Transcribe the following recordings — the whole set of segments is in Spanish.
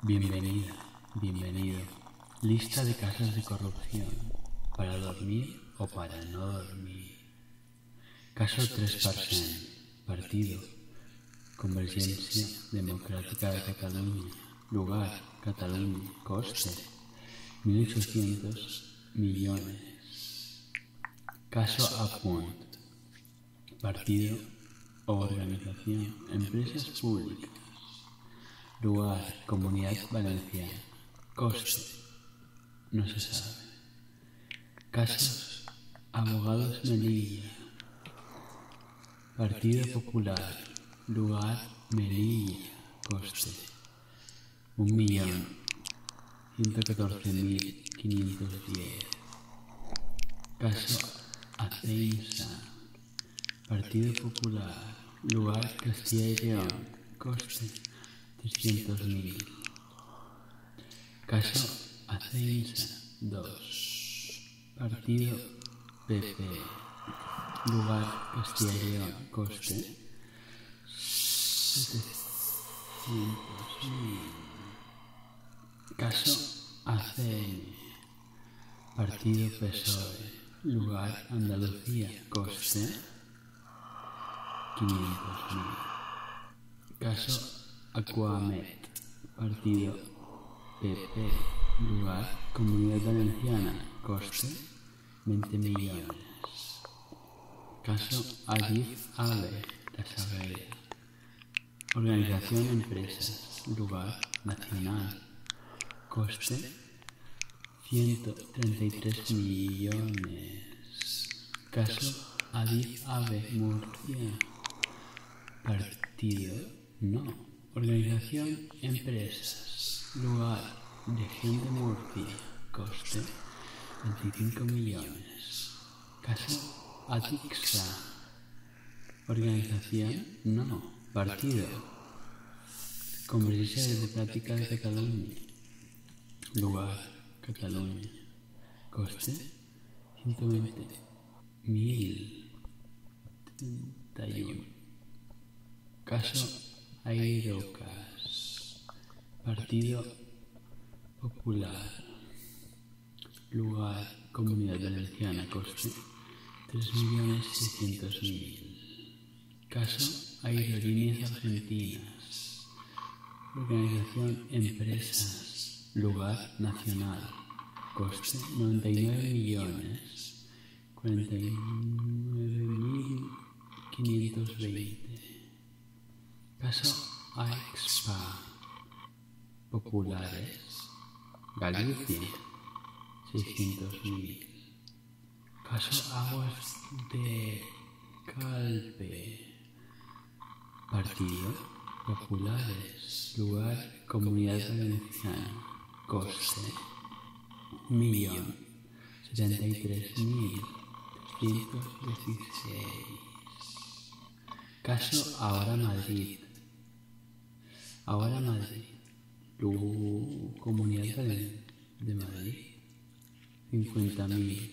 Bienvenida, bienvenido. Lista de casos de corrupción. Para dormir o para no dormir. Caso 3%. Partido. Convergencia Democrática de Cataluña. Lugar. Cataluña. Coste. 1.800 millones. Caso a partido organización, empresas públicas, lugar, comunidad valenciana, coste, no se sabe, casos, abogados Melilla, Partido Popular, lugar, Melilla, coste, un millón, 114.510. Caso Aceixa, Partido Popular, Lugar Castilla y León, coste 300.000. Caso Aceixa 2, Partido PP, Lugar Castilla y León, coste 700.000. Caso ACN. Partido PSOE. Lugar Andalucía. Coste 500.000. Caso Aquamed. Partido PP. Lugar Comunidad Valenciana. Coste 20 millones. Caso Adif Ale. Las Organización Empresas. Lugar. Nacional. Coste. 133 millones. Caso Adif Ave Murcia. Partido. No. Organización Empresas. Lugar. de de Murcia. Coste. 25 millones. Caso Atixa Organización no. Partido. Convertirse de de Cataluña. Lugar Cataluña. Coste 120.031. Caso Ayrocas. Partido Popular. Lugar, Comunidad Valenciana, coste 3.600.000. Caso, Aerolíneas Argentinas. Organización, Empresas. Lugar, Nacional. Coste nueve millones. paso, Caso, Spa populares. Galicia, mil Caso Aguas de Calpe. Partido Populares. Lugar Comunidad Valenciana. Coste. mil Caso ahora Madrid. Ahora Madrid. Tu comunidad de, de Madrid. 50.000.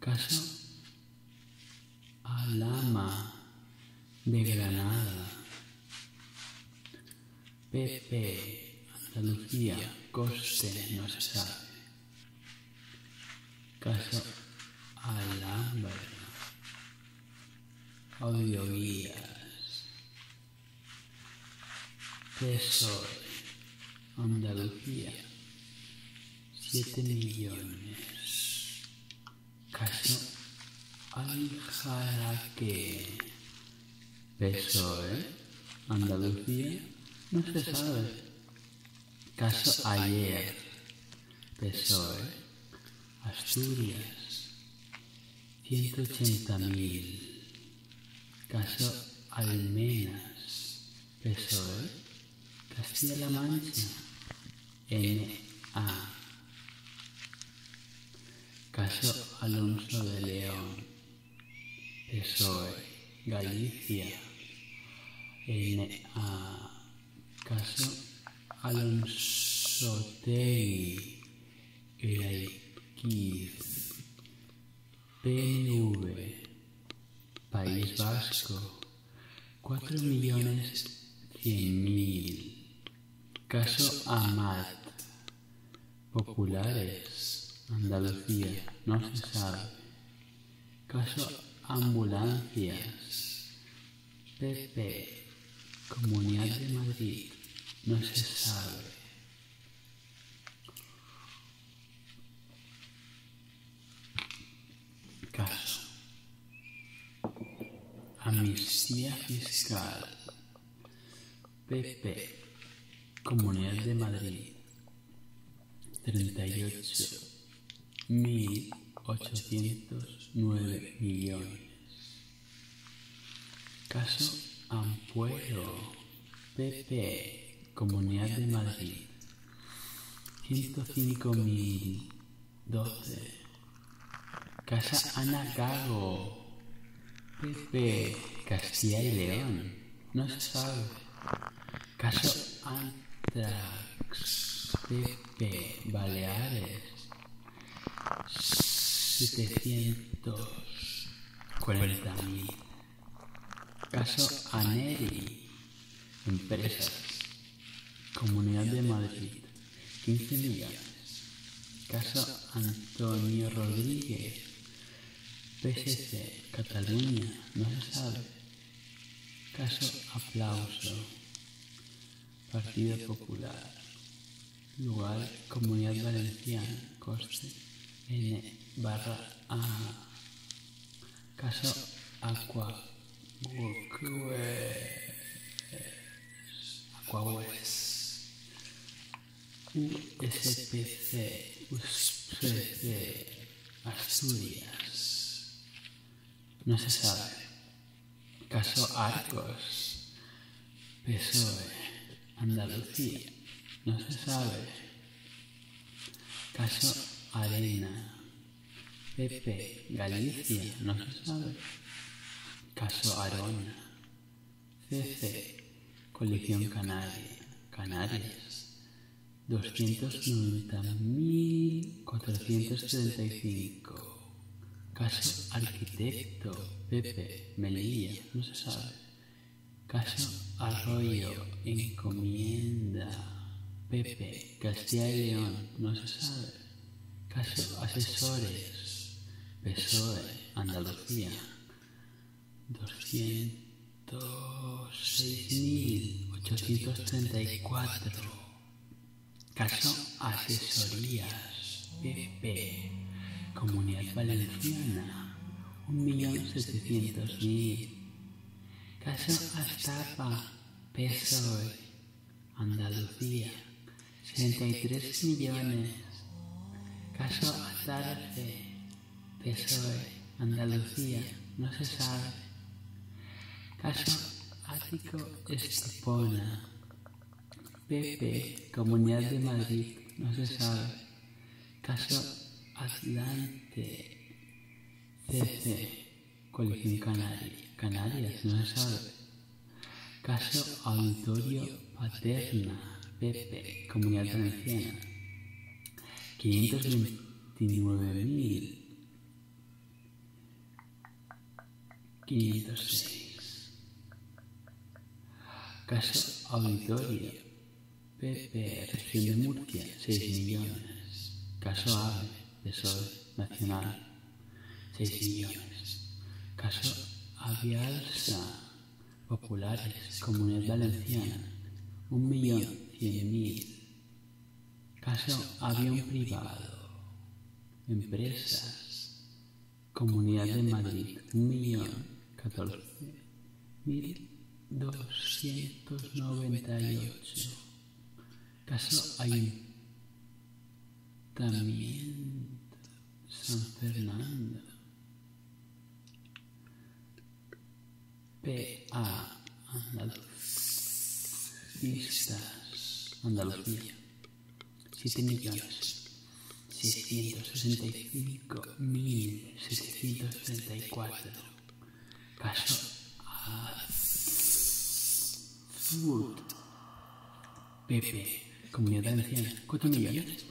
Caso Alama de Granada. PP, Andalucía, Coste, no se sabe. Caso Alhambra. Audioguías. PESOE, Andalucía. Siete millones. Caso Aljaraque. Peso, ¿eh? Andalucía. No se sabe. Caso ayer, peso ¿eh? Eh. Asturias, mil. Caso Almenas, Tesor ¿eh? Castilla-La Mancha, NA. Caso Alonso de León, Tesor Galicia, NA. Caso Alonsotegui, Leipzig, PNV, País Vasco, 4.100.000. Caso Amat, Populares, Andalucía, no se sabe. Caso Ambulancias, Pepe, Comunidad de Madrid, no se sabe. Caso. Amnistía fiscal. Pepe, Comunidad de Madrid, 38 1.809 millones. Caso Ampuero, PP, Comunidad de Madrid. doce. Casa Ana Gago, PP, Castilla y León. No se sabe. Caso Antrax, P. Baleares, 740.000. Caso Aneri, Empresas, Comunidad de Madrid, 15 millones. Caso Antonio Rodríguez, PSC, Cataluña, no se sabe. Caso Aplauso, Partido Popular, lugar Comunidad Valenciana, coste N barra A. Caso Aqua Aquawes, USPC, USPC, Asturias. No se sabe. Caso Arcos, PSOE, Andalucía. No se sabe. Caso Arena, Pepe, Galicia. No se sabe. Caso Arona, CC, Colección Canaria, Canarias. 290.435. Caso Arquitecto Pepe Melilla, no se sabe. Caso Arroyo Encomienda Pepe Castilla y León, no se sabe. Caso Asesores PSOE Andalucía 206.834 Caso Asesorías PP, Comunidad Valenciana, 1.700.000. Caso Astapa, PSOE, Andalucía, 63 millones. Caso Azarce, PSOE, Andalucía, no se sabe. Caso Ático Estepona. PP, Comunidad de Madrid, no se sabe. Caso Atlante. CC, Colección Canaria, Canarias, no se sabe. Caso Auditorio Paterna, PP, Comunidad Valenciana. 529.000. 506. Caso Auditorio PP, Región de Murcia, 6 millones. Caso AVE, sol Nacional, 6 millones. Caso Avialsa, Populares, Comunidad Valenciana, 1.100.000. Caso, avión privado, empresas, Comunidad de Madrid, catorce mil doscientos noventa y ocho. Caso Ayuntamiento San Fernando. Andaluz. Listas. Andalucía. 7.665.734. Caso a Food. Pepe. Comunidad Valenciana. 4 millones.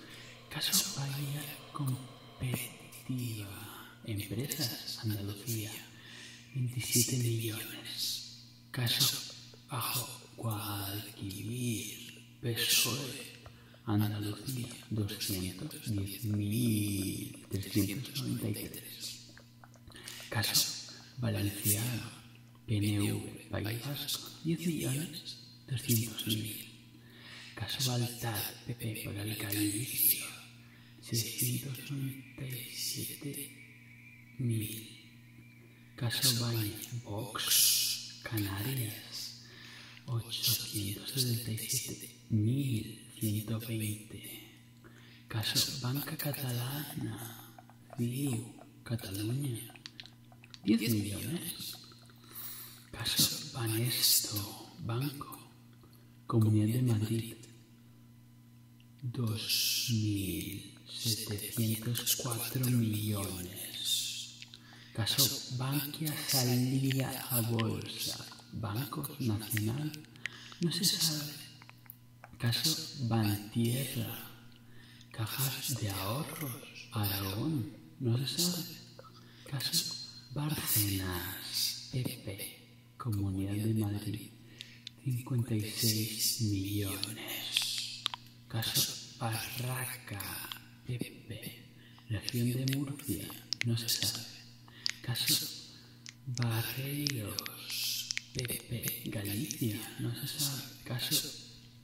Caso Bahía Competitiva. Empresas Andalucía. 27 millones. Caso bajo Guadalquivir, PSOE, Andalucía, 210.393. Caso Valenciano, PNU País Vasco, 10.200.000. Caso Baltar, PP, por Alcaldicio, siete mil. Ban Box, Canarias, veinte Casa Banca Catalana, Viu, Cataluña, 10 millones. Caso Banesto, Banco, Comunidad de Madrid, 2.704 millones. Caso Bankia saldría a bolsa. Banco Nacional no se sabe. Caso Bantierra. Cajas de ahorros. Aragón no se sabe. Caso Barcenas. Pepe. Comunidad de Madrid, 56 millones. Caso Barraca, Pepe, región de Murcia, no se sabe. Caso Barreiros, Pepe, Galicia, no se sabe. Caso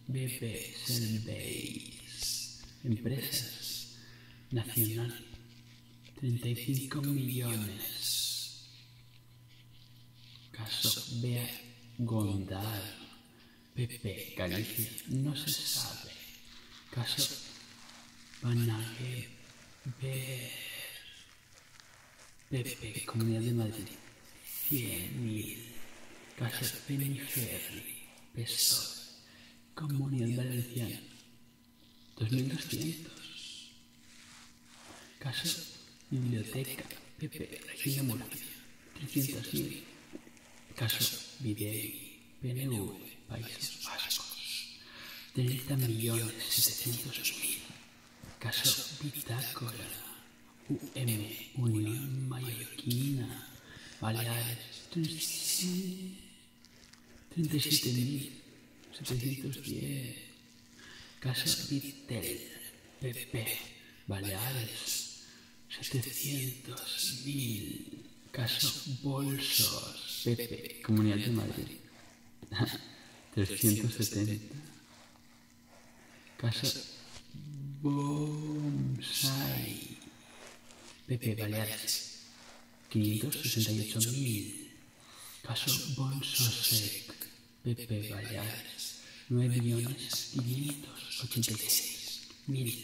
BP, Senbeis. empresas, nacional, 35 millones. Caso B, Gondar, Pepe Galicia, no se sabe. Caso Panague, Pepe Comunidad de Madrid, 100.000. Caso Peniferri, PSOE, Comunidad Valenciana, 2.200. Casa, biblioteca, Pepe, Regina Murcia, 309. Caso, Videgui, PNV, Países Vascos, 30 Casa, 700 mil. Caso, Bitácora, UM, Unión Mallorquina, Baleares, 37.710. Casa Vitel, PP, Baleares, 700.000. Caso Bolsos, PP, Comunidad de Madrid, 370. Casa Bonsai, PP, Baleares, 568.000. Caso Bonsosec. Pepe Vallares, 9.586.143, millones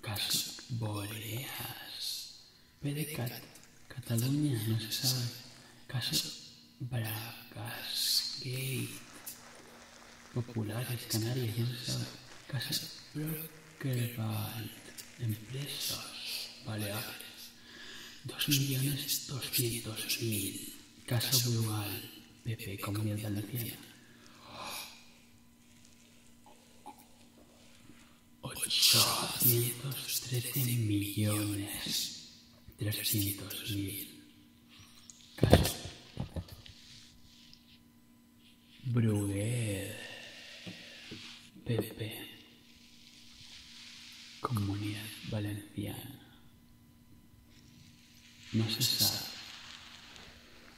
Caso Boreas, PDCAT, Cataluña, no se sabe. Caso Bragas Gate, Populares Canarias, no se sabe. Caso Brokerwald, Empresas Baleares. Dos millones doscientos mil. Caso Brugal, Pepe Comunidad Valenciana. Ochocientos trece millones trescientos mil. Caso Bruguel, Pepe. Comunidad Valenciana. No se sabe.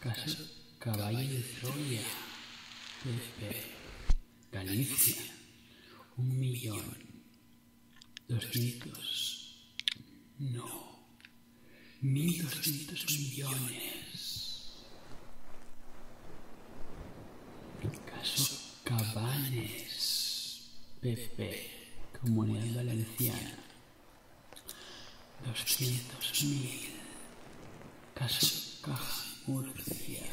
Caso Caballo de Troya, PP, Galicia, un millón, doscientos, no, mil doscientos millones. Caso Cabanes, PP, Comunidad Valenciana. 200.000. Caso Caja Murcia.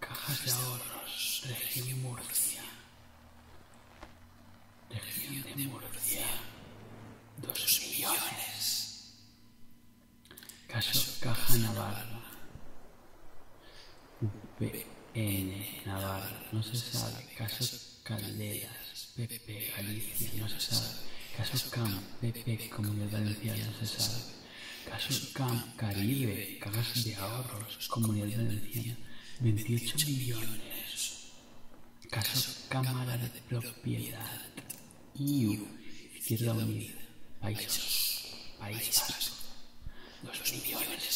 Cajas de ahorros, Región Murcia. Región de Murcia. 2 millones. Caso Caja Navarra. N Navarra, no se sabe. Caso Calderas, PP Galicia, no se sabe. Caso cama PP Comunidad Valenciana, no se sabe. Caso Camp Caribe, Cajas de Ahorros, Comunidad Valenciana, 28 millones. Caso Cámara de Propiedad, IU, Izquierda Unida, Países, País dos millones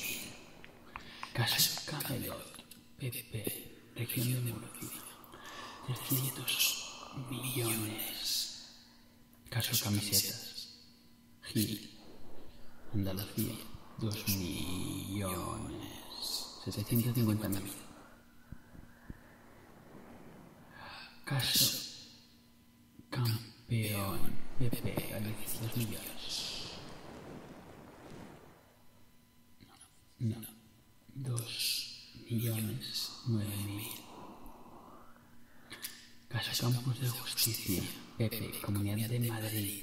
mil. Caso Camelot, PP, Región de Murcia, trescientos millones. Caso Camisetas, Gil, Andalucía, dos millones, setecientos mil. Caso campeón Pepe 2 Millas. No, no. Dos millones 9 mil. Caso Campos de Justicia, Pepe, Comunidad de Madrid,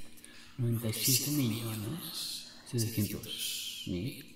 97 millones 700 mil.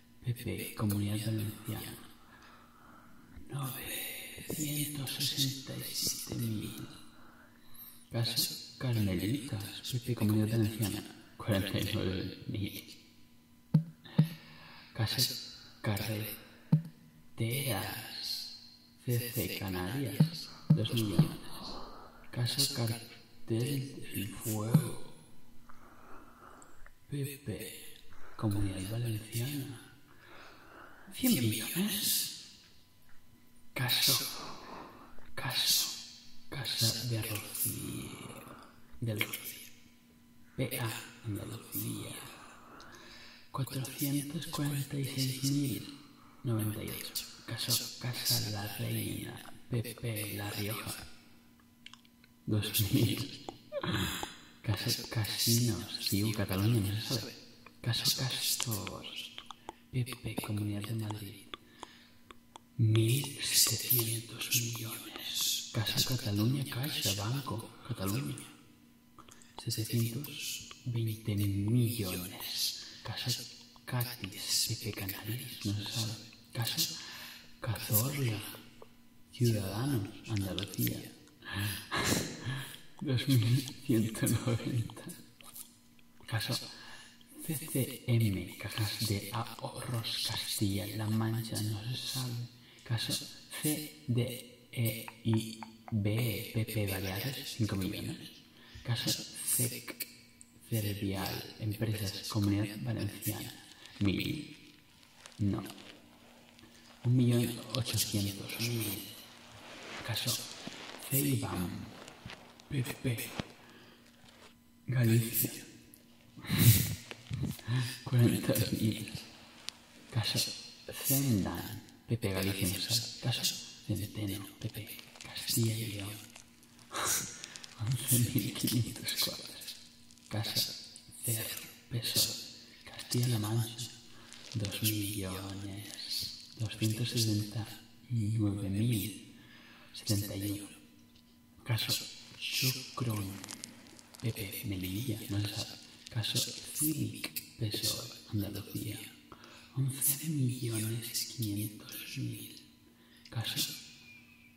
Pepe Comunidad Valenciana, 967.000. Casas Carmelitas, Pepe Comunidad Valenciana, 49.000. Casas Carreteras, CC Canarias, 2 Casa Cartel del Fuego, Pepe, Comunidad Valenciana. 100 millones. Caso, caso, casa de Rocío, del PA, Andalucía. 446.098. Caso, casa La Reina, Pepe La Rioja. 2000. casas Casinos. un Cataluña, no se sabe. Casas Castor. PP, Comunidad de Madrid. 1.700 millones. Casa Cataluña, Caixa, Banco, Cataluña. 720 millones. Casa Catis, PP Canarias, no se sabe. Casa Cazorla, Ciudadanos, Andalucía. 2190. Caso CCM, Cajas de Ahorros Castilla-La Mancha, no se sabe. Caso CDEIB, PP e, Baleares, 5 millones. Caso CEC, Cervial, Empresas, Comunidad Valenciana, 1000. No. Un millón ochocientos Un mil. Caso Ceibam. Pepe. Galicia. Cuarenta mil. Caso. Zendan. PP Galicia. Caso. Centeno. PP. Castilla y León. Once mil quinientos cuadras. Casa, Cer, Peso, Castilla-La Mancha, dos millones, Caso, Sucron, Pepe, Melilla, no Caso, Cilic, Pesor, Andalucía, 11.500.000. millones Caso,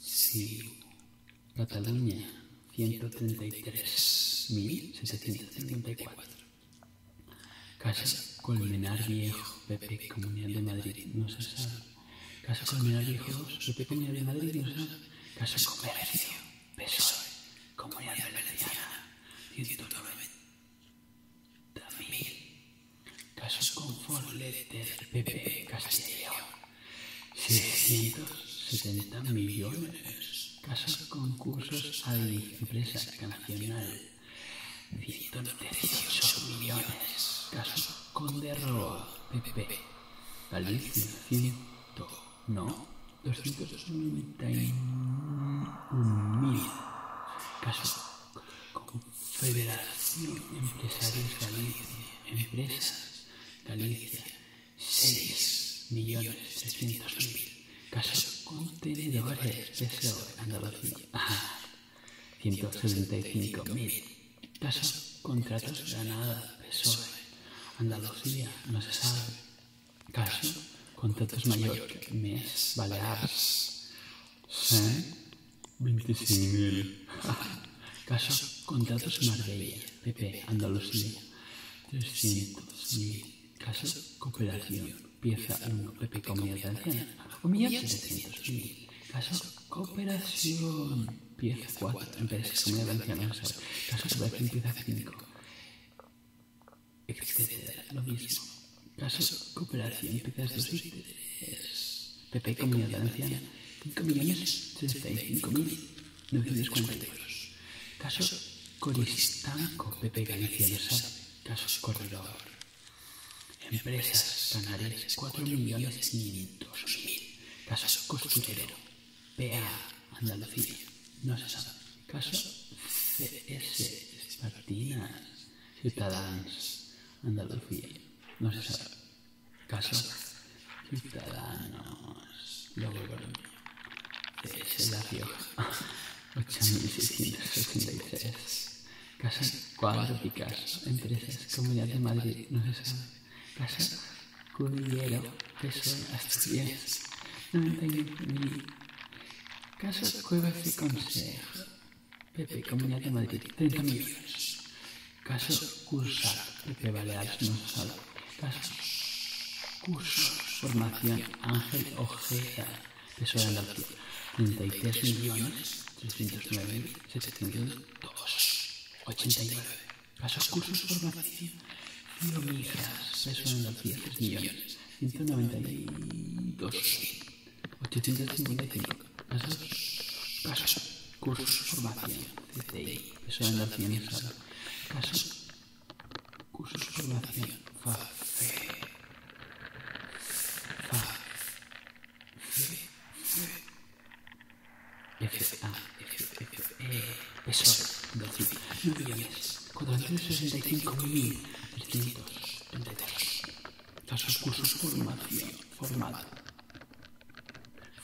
Sí. Cataluña, 133.754. Casa Colmenar Viejo, PP, Comunidad de Madrid, no se sabe. Casa Colmenar Viejo, PP, Comunidad de Madrid, no se sabe. Casa Comercio, PSOE, Comunidad Valenciana, 190.000. Casa Confort Letter, PP, Castilla 670 millones. de concursos a la empresa cancional. 198 millones. Caso con Roa, PP. Galicia, 100. No, 291 mil. Caso de Empresarios Galicia. Empresas. Galicia, 6.300.000 casos contenedores de Andalucía, 175.000 casos contratos Granada, PSOE, Andalucía, no se sabe, caso contratos Mallorca, MES, Baleares, 125.000. Caso Contratos Marbella, PP Andalucía, 300.000. Caso Cooperación, pieza 1, PP Comida Valenciana, comida Caso Cooperación, pieza 4, Empresas Comida Valenciana, caso Cooperación, pieza 5, Exceder, lo mismo. Caso Cooperación, pieza 2 PP Comida Valenciana, 5 millones 35.000. 952. Caso Coristanco, Pepe Galicia, Nesar, casos Corredor. Empresas Canarias, 4.500.000. Caso Costurero, PA, Andalucía, no se sabe. Caso CS, Espartinas, Ciudadanos, Andalucía, no se sabe. Casos Ciudadanos Logroño de La Rioja 8663 Casas Cuadro Picasso Empresas Comunidad de Madrid No se sabe Casas Cudillero Peso Asturias ni. Casas Cuevas y Consejo Pepe Comunidad de Madrid 30.000 Caso cursa, no sala. Caso curso, formación Ángel Ojeda, peso de la 33 millones Caso cursos, formación peso de la tres millones Casos, casos cursos, formación, CCI, en la casos, cursos, formación, Fa FA. FA, e, mil veintitrés casos, cursos, formación, formado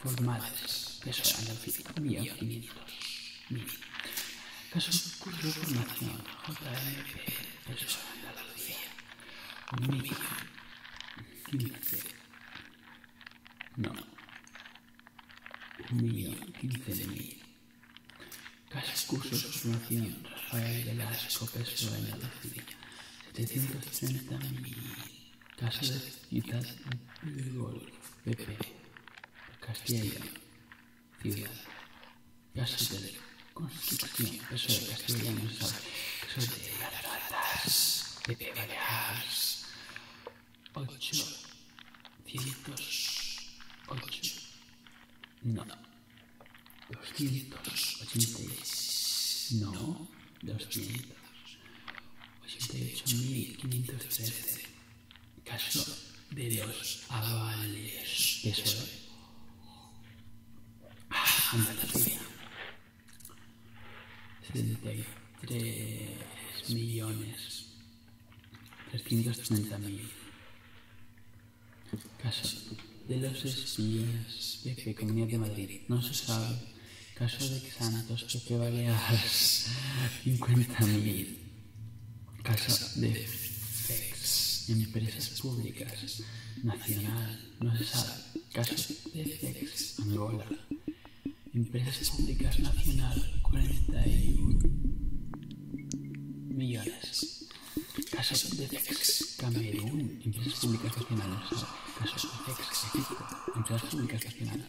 formadas que son mil Caso curso formación JLP Peso Andalucía. Millón No. Millón quince de mil. Caso cursos formación Rafael pesos en la Casas you de gol, Pepe, Castilla, ciudad, casa de de de Pepe ocho, cientos, ocho, no, doscientos, ochenta no, 200, 88.513. Caso de Dios los ah, avales. Eso es. Andalucía. Ah, 73 millones. 330.000. Caso de los espías de Pequeña de Madrid. No se sabe Caso de Xanatos que vale a 50.000. Caso de FEX, empresas públicas, nacional, no se sabe. Caso de FEX, Angola, empresas públicas, nacional, 41 millones. casos de FEX, Camerún, empresas públicas, nacionales no se sabe. de FEX, empresas públicas, nacionales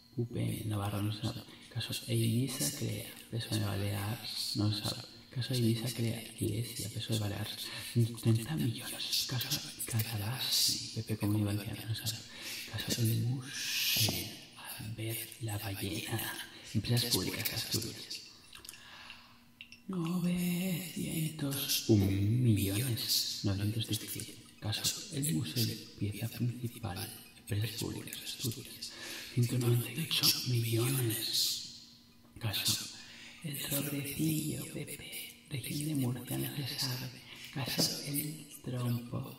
UP Navarro, no se sabe. Caso Elisa crea, peso de Balear no se sabe. Caso Elisa crea Iglesia, peso de Balear 30 millones. Caso Catalás, PP Comunidad no se sabe. Caso El Museo, Ver La Ballena, Empresas Públicas Asturias. 901 millones 917. Caso El Museo, pieza principal redes públicas de Asturias, 198 millones. Caso, el sobrecillo, Pepe, región de Murcia, no se sabe. Caso, el trompo,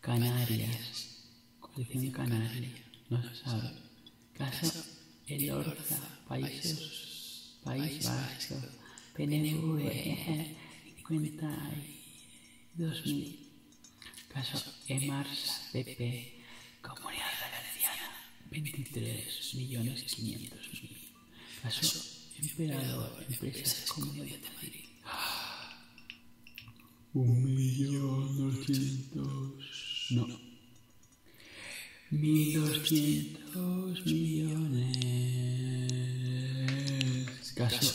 Canarias, de Canarias, no se sabe. Caso, el Orza, Países, País Vasco, PNV, 52.000. E, Caso e Mars PP, Comunidad Valencia 23 millones 500 mil. Caso Emperador, de Comunidad de Madrid. Un millón No. millones. Caso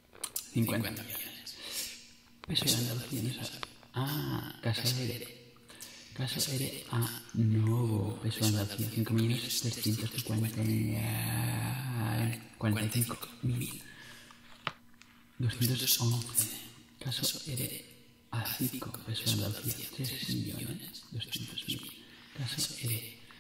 50, millones. Peso de dos millones. Pues pues ah, Casa Ere. Casa de a ah, nuevo peso de 5 millones 350 45 mil. 211. Caso Ere a 5 peso de 3 millones 200 mil. Caso Ere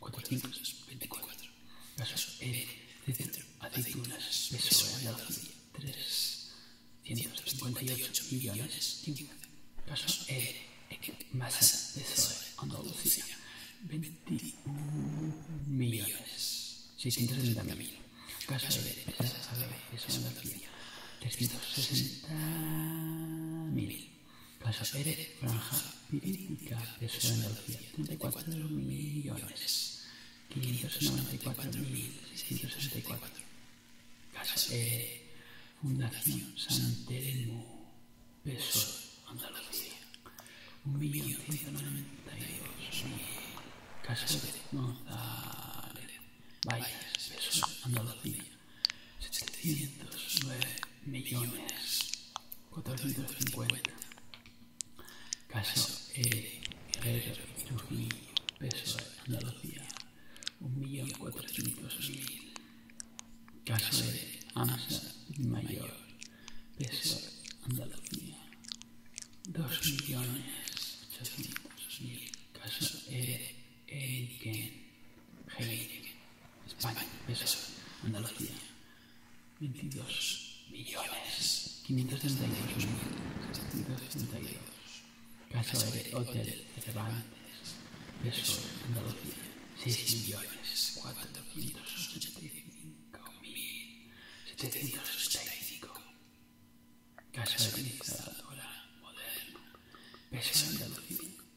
491.424 Casos E de centro, aceitunas, peso de ácido, 3, 158 millones, 15. Casos E, masa de Zoe, Andalucía, 21 millones, 630 mil. Caso de Petas Árabe, peso de Andalucía, 360 Casa Pérez, franja pirítica de 34 millones, Casa Pérez, Fundación San Telmo, Peso, Andalucía, Casa Pérez, González, Valles, Peso, Andalucía. 709 millones 450. casos E. Guerrero Trujillo, peso Andalucía, 1.400.000. Caso E. Eh, AMSA Mayor, peso Andalucía, 2.800.000. casos E. Eidgen. Heineken, España, peso, 22 millones, 532 mil, de Hotel Cervantes, peso, Andalucía, 6 millones, 485 mil, Moderno, peso, Andalucía.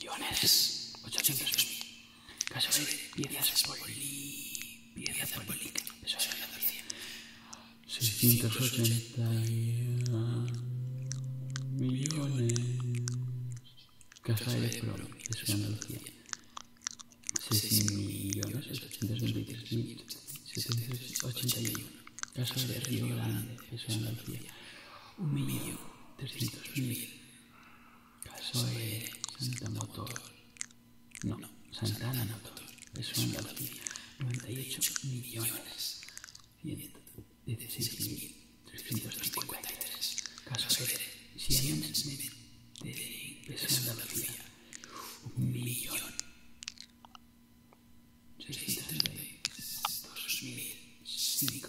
millones, 800.000. Casa de piezas poli... Piezas políticas. Eso es 680 millones. Casa de eso es Andalucía. 6 millones 823 mil Casa de Río Grande, es Andalucía. 1 millón Caso de Santa Motor. No, Santana Motor. Es una Andalucía. 98 millones. 16.353. Caso de Siemens de una Andalucía. Un millón. 632.005.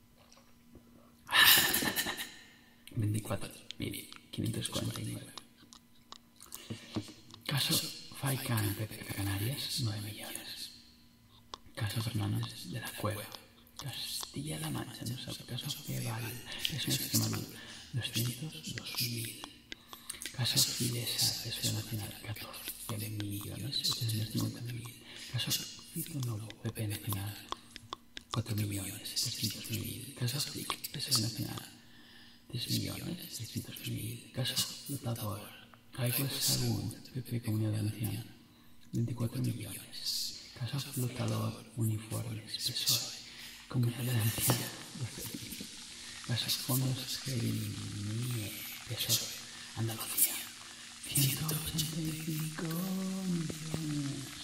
24.549 Caso Faikan PP Canarias, 9 millones. Caso Fernández de la Cueva. Castilla-La Mancha, no sé, caso Feval, es un esquema Caso Fidesa, Peso Nacional, 14 millones, Caso Fito PP Nacional, 4 millones 300 mil casas Caja Nacional, 3 millones 300 mil casas dotador, Caigo Salud, PP Comunidad Valenciana, 24 millones, Casa Flotador, Uniformes, Peso. Comunidad Valenciana, 12 mil, Casas Fondos, Gerimie, PSOE, Andalucía, 185 millones.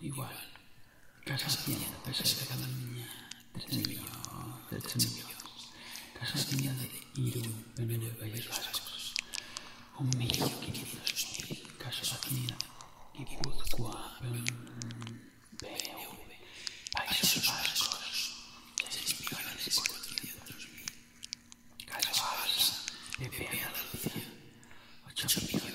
igual. Casas de niña, tres millones, Casas hacienda de Irún, País Vascos, un millón quinientos Casas Países Vascos, seis millones Casas en Andalucía, ocho millones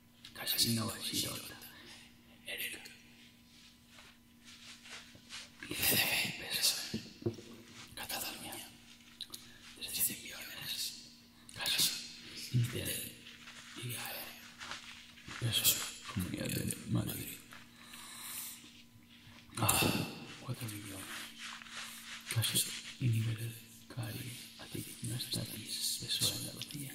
Casanova Girota. Erecto. 10 de pesos. millones. de, y Igae. Pesos. Comunidad de Madrid. 4 millones. casas Y nivel. en la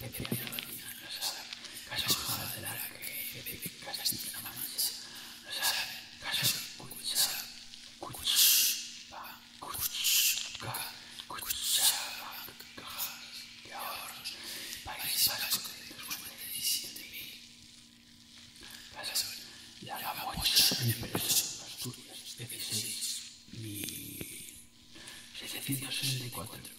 Pepe Pino de que de de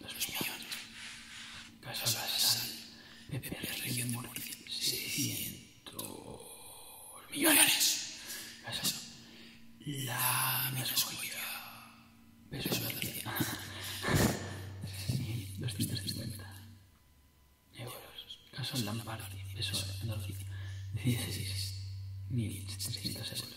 2 millones. Casa Basal, Pepe Región de 600 millones. Casa La Mesoya, Peso Valencia, 3.250 euros. Casa lamparte, Peso Andalucía, 16.300 euros.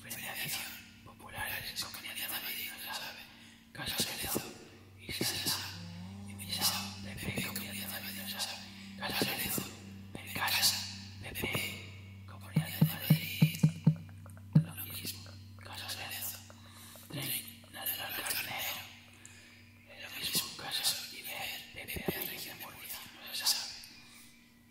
Premiación populares con Cañada Madrid, Sabe, Casa Cerezo y Salsa. Invitado de P. Comunidad de Madrid, Sabe, Casa Cerezo, de Casa, de Comunidad de Madrid. Lo mismo, Casa la de la Carnero. Lo mismo, Casa Oliver, de P. Región de Murcia, no se sabe.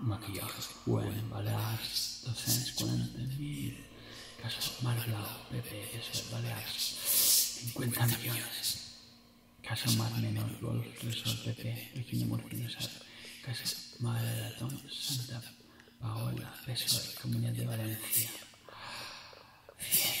maquillados pueden balear. docents 40.000, casas Mar Blau, Pepe, eso es balears, 50 millones, casa Mar Menor, Golf, Resort, PP, Pequeño Morfinizar, casa Madre de Atón, Santa Paola, la Comunidad de Valencia, 100,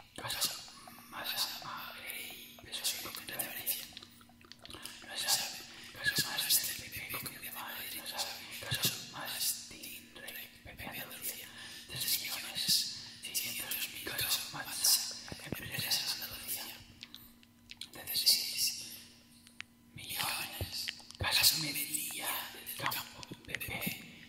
Casas más madre y pesos de la diferencia. No se sabe, casas más del este PP de Madrid, no se sabe, casas más del PP de Andalucía, 3 millones, 600 casas más, empresas de Andalucía, de 16 millones, casas media del campo PP.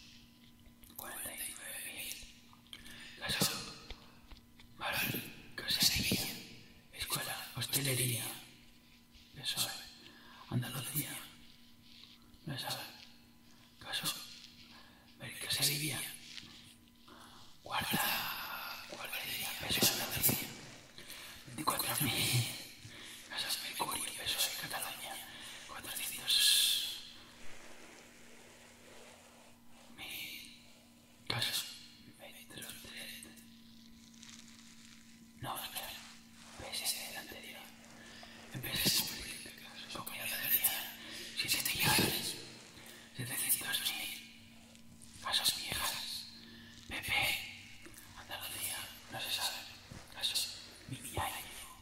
49.000. La casa de Escuela, Hostelería, Peso. Andalucía, PSOE, Caso, Guarda, Peso. Andalucía, 24.000. Casas Mercurio, eso es Cataluña. 400. Mil. Casas metros de. No, espera. ¿Ves este del anterior? Empresas públicas, comunidad de Galicia. 7 millones. 700 mil. Casas viejas. PP. Andalucía, no se sabe. Casas. Mi año.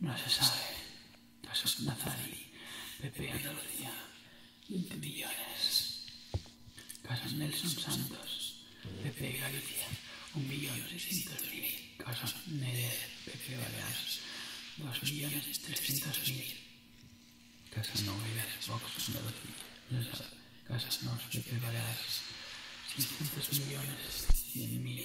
Non se sabe. Casos Nazari, Pepe Andalucía, 20 millones. Casos Nelson Santos, Pepe Galicia, 1 millón 600 Neder, Pepe Baleares, 2.300.000. millones 300 mil. Casas Novelas, Vox no se sabe. Casas Nos, Pepe Baleares, 600 millones 100 mil.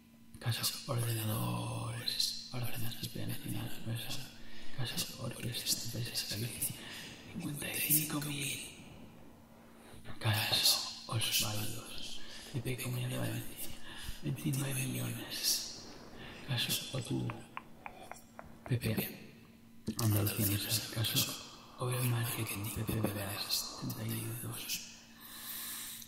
Casas por ordenadores, ordenadores penales, casas por presentes aquí, 55.000. Caso Osvaldos, de Comunidad de Valencia, 29 millones. Caso Otu, PP, Andalucía, caso Over Marketing, PP, 32.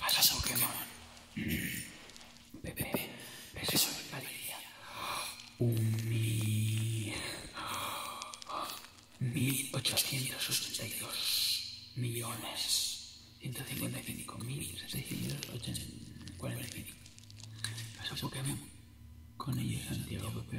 ¡Hasta que Pokémon. Pepe, un Mil ochocientos y dos millones. Ciento cincuenta y cinco mil seiscientos ochenta y cinco. Pokémon. Con ellos Santiago Pepe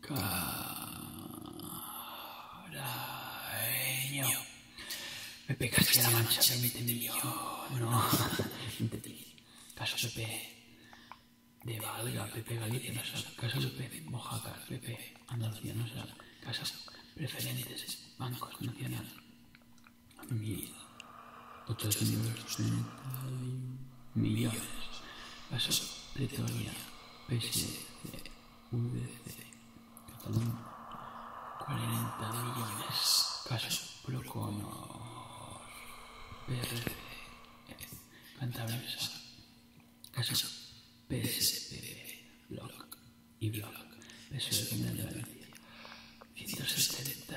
Caraño. Me pegaste la mancha de 20 millones. No, 20 mil. Caso Pepe. De Valga, Pepe Galicia, Casa Pepe, Mojaca, Pepe, Andalucía, no será. Casas preferentes, bancos nacionales. Mil. 891 millones. Caso Pretoria. PSC, VDC, Cataluña, 40 millones, caso Proconor, PRC, Cantabria, e. casos PSPB, e. Bloc y Bloc, PSOE Comunidad 186.000.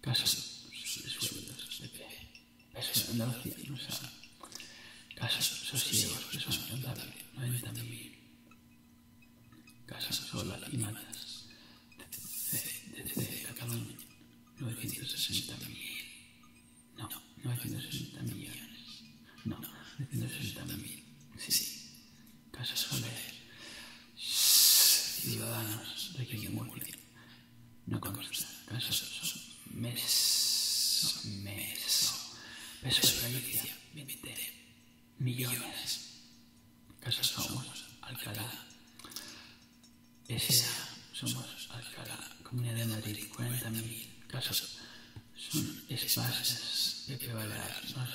casos sueldos de que pesos en la o sea, casos sosiegos que son contables, 90.000, casos solas y malas, de Cataluña, 960.000, no, No, hay 960 millones, no, 960.000, sí, sí, casos soles, ciudadanos de que bien. No consta. Meso. Meso. Peso de Galicia. 20 millones. Casos, somos Alcalá. S.A. somos Alcalá. Comunidad de Madrid. 40.000 Casos, Son espacios de prevalar. no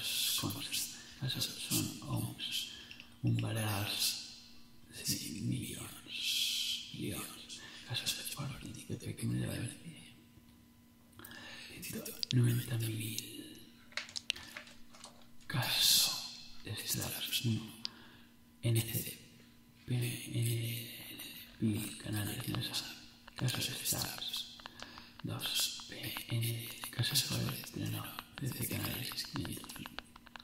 consta. Casos, son hombres Umbrals, es decir, millones, millones, casos de fortín que te acumulan 90.000 caso de estratos 1 NCD, PNL, pnl canales de casos de estratos 2 PNL, casos de estreno desde canales 500.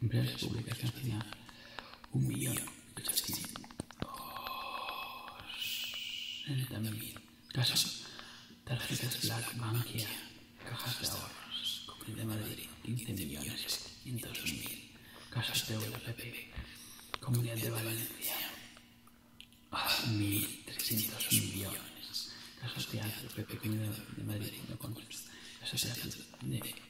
Emplear las publicaciones final. Un millón ochocientos mil casas, tarjetas Black banca cajas de ahorros, Comunidad de Madrid, 15 millones casas de PP, Comunidad de Valencia, 1300 millones casas de Ángel PP, Comunidad de Madrid, no con casas de de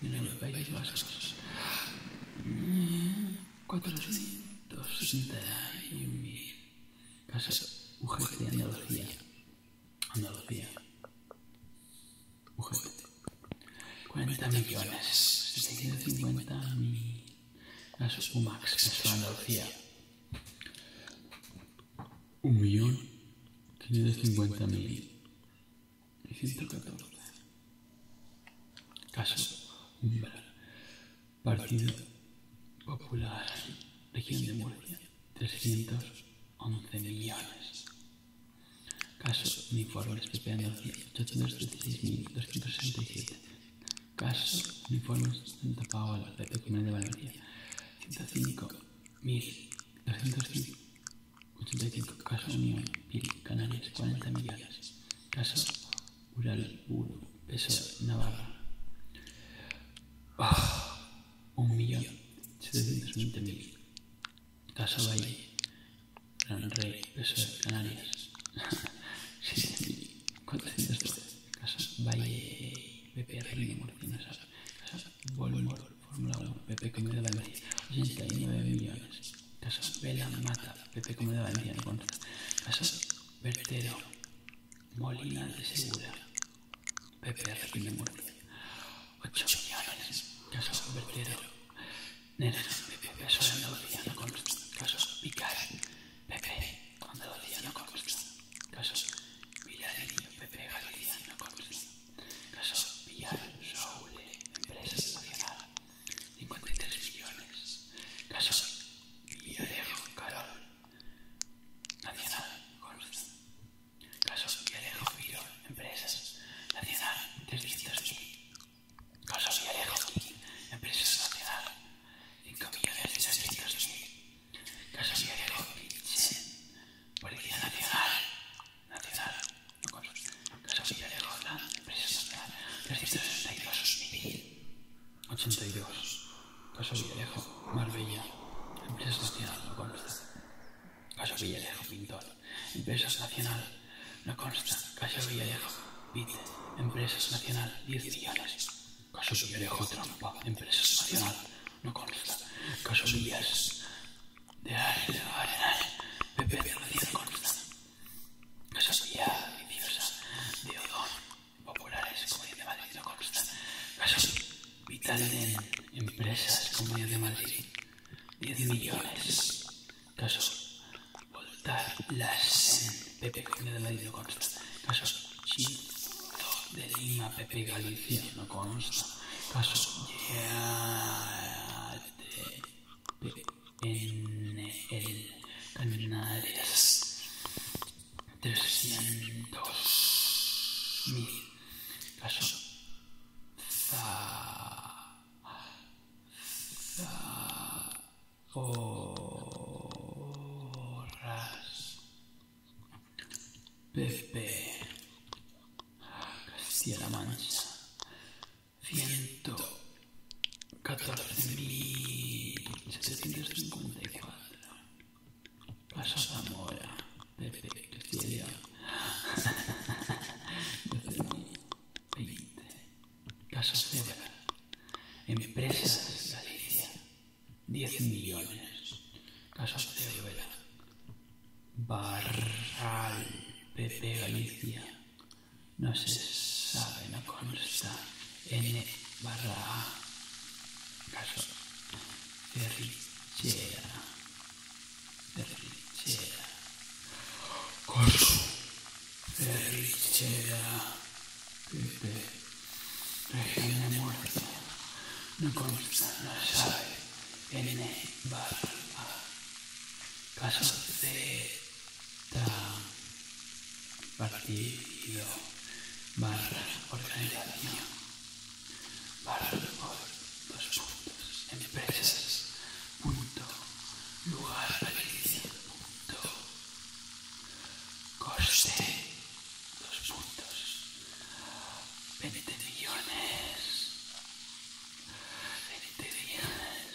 de la Nueva País Vasco. 461.000 casas UGT de Andalucía. Andalucía. UGT. 40 millones. 650.000 casas UMAX, caso Andalucía. 1.550.000 114. Caso Umbral. Partido Popular. Región de Murcia. 311 millones. Caso Uniformes PP Andalucía. 836.267. Caso Uniformes Santa Paola. PP Comunidad de Valencia. 105.250. 85 casos Unión, Pili, Canarias 40 millones. Caso Ural 1, peso Navarra. 1.720.000. Ah, Caso Valle, Gran Rey, peso Canarias. 6.412. Caso Valle, BPR, Murcia, no sabe. Caso Volvo, Fórmula 1, BP Comida Valverde, 89 millones caso Vela Mata, Pepe Comedor Valencia en contra. caso Vertero, Molina de Segura, Pepe Requín primer Murcia. 8 millones. caso Vertero, Nena, Pepe caso de día no contra. caso Picar, Pepe cuando día no contra. Casa niño, Pepe Galicia no contra. caso Villar, Soule, Empresa Nacional. 53 millones casos y alejo Carol, Nacional, Consta. y alejo Virón, Empresas, Nacional, 300.000. Casol, Villarejo, Empresas, Nacional, 5.600.000. Casol, Villarejo, Policía Nacional, Nacional. Caso Villalejo, empresa 362, 82. Caso Villalejo, Marbella, empresa nacional, consta. Caso Villalejo, pintor, empresas nacional, no consta. Caso Villalejo, Vite, empresas nacional, 10 millones. Caso Villalejo, trampa, empresas nacional, no consta. Caso Villalejo, de Arenal, Pepe, No consta. Esa sociedad viciosa de odor populares como de Madrid no consta. Casos vitales en empresas como de Madrid. 10 millones. Casos Voltar las en PP Comunidad de Madrid no consta. Casos Chito de Lima PP Galicia no consta. Casos yeah, de en el Canarias 300 mil caso za, za, horas Pepe Castilla-La Mancha ciento catorce mil setecientos cincuenta Zamora, Castilla, Empresas Galicia, diez millones. de Barral, PP Galicia no se sabe, no consta, N barra A, caso, ferrichera, ferrichera, Caso. ferrichera, región de muerte, no consta, no sabe, N barra A, caso, C, barrio barra barra dos puntos empresas punto lugar realización punto coste dos puntos 20 millones 20 millones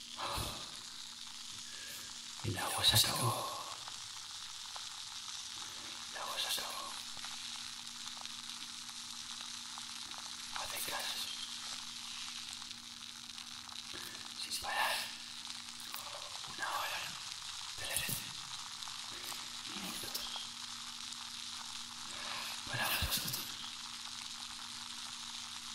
El agua se acabó. El agua se acabó. Sin parar. Una hora. Trece. Minutos. Para vosotros.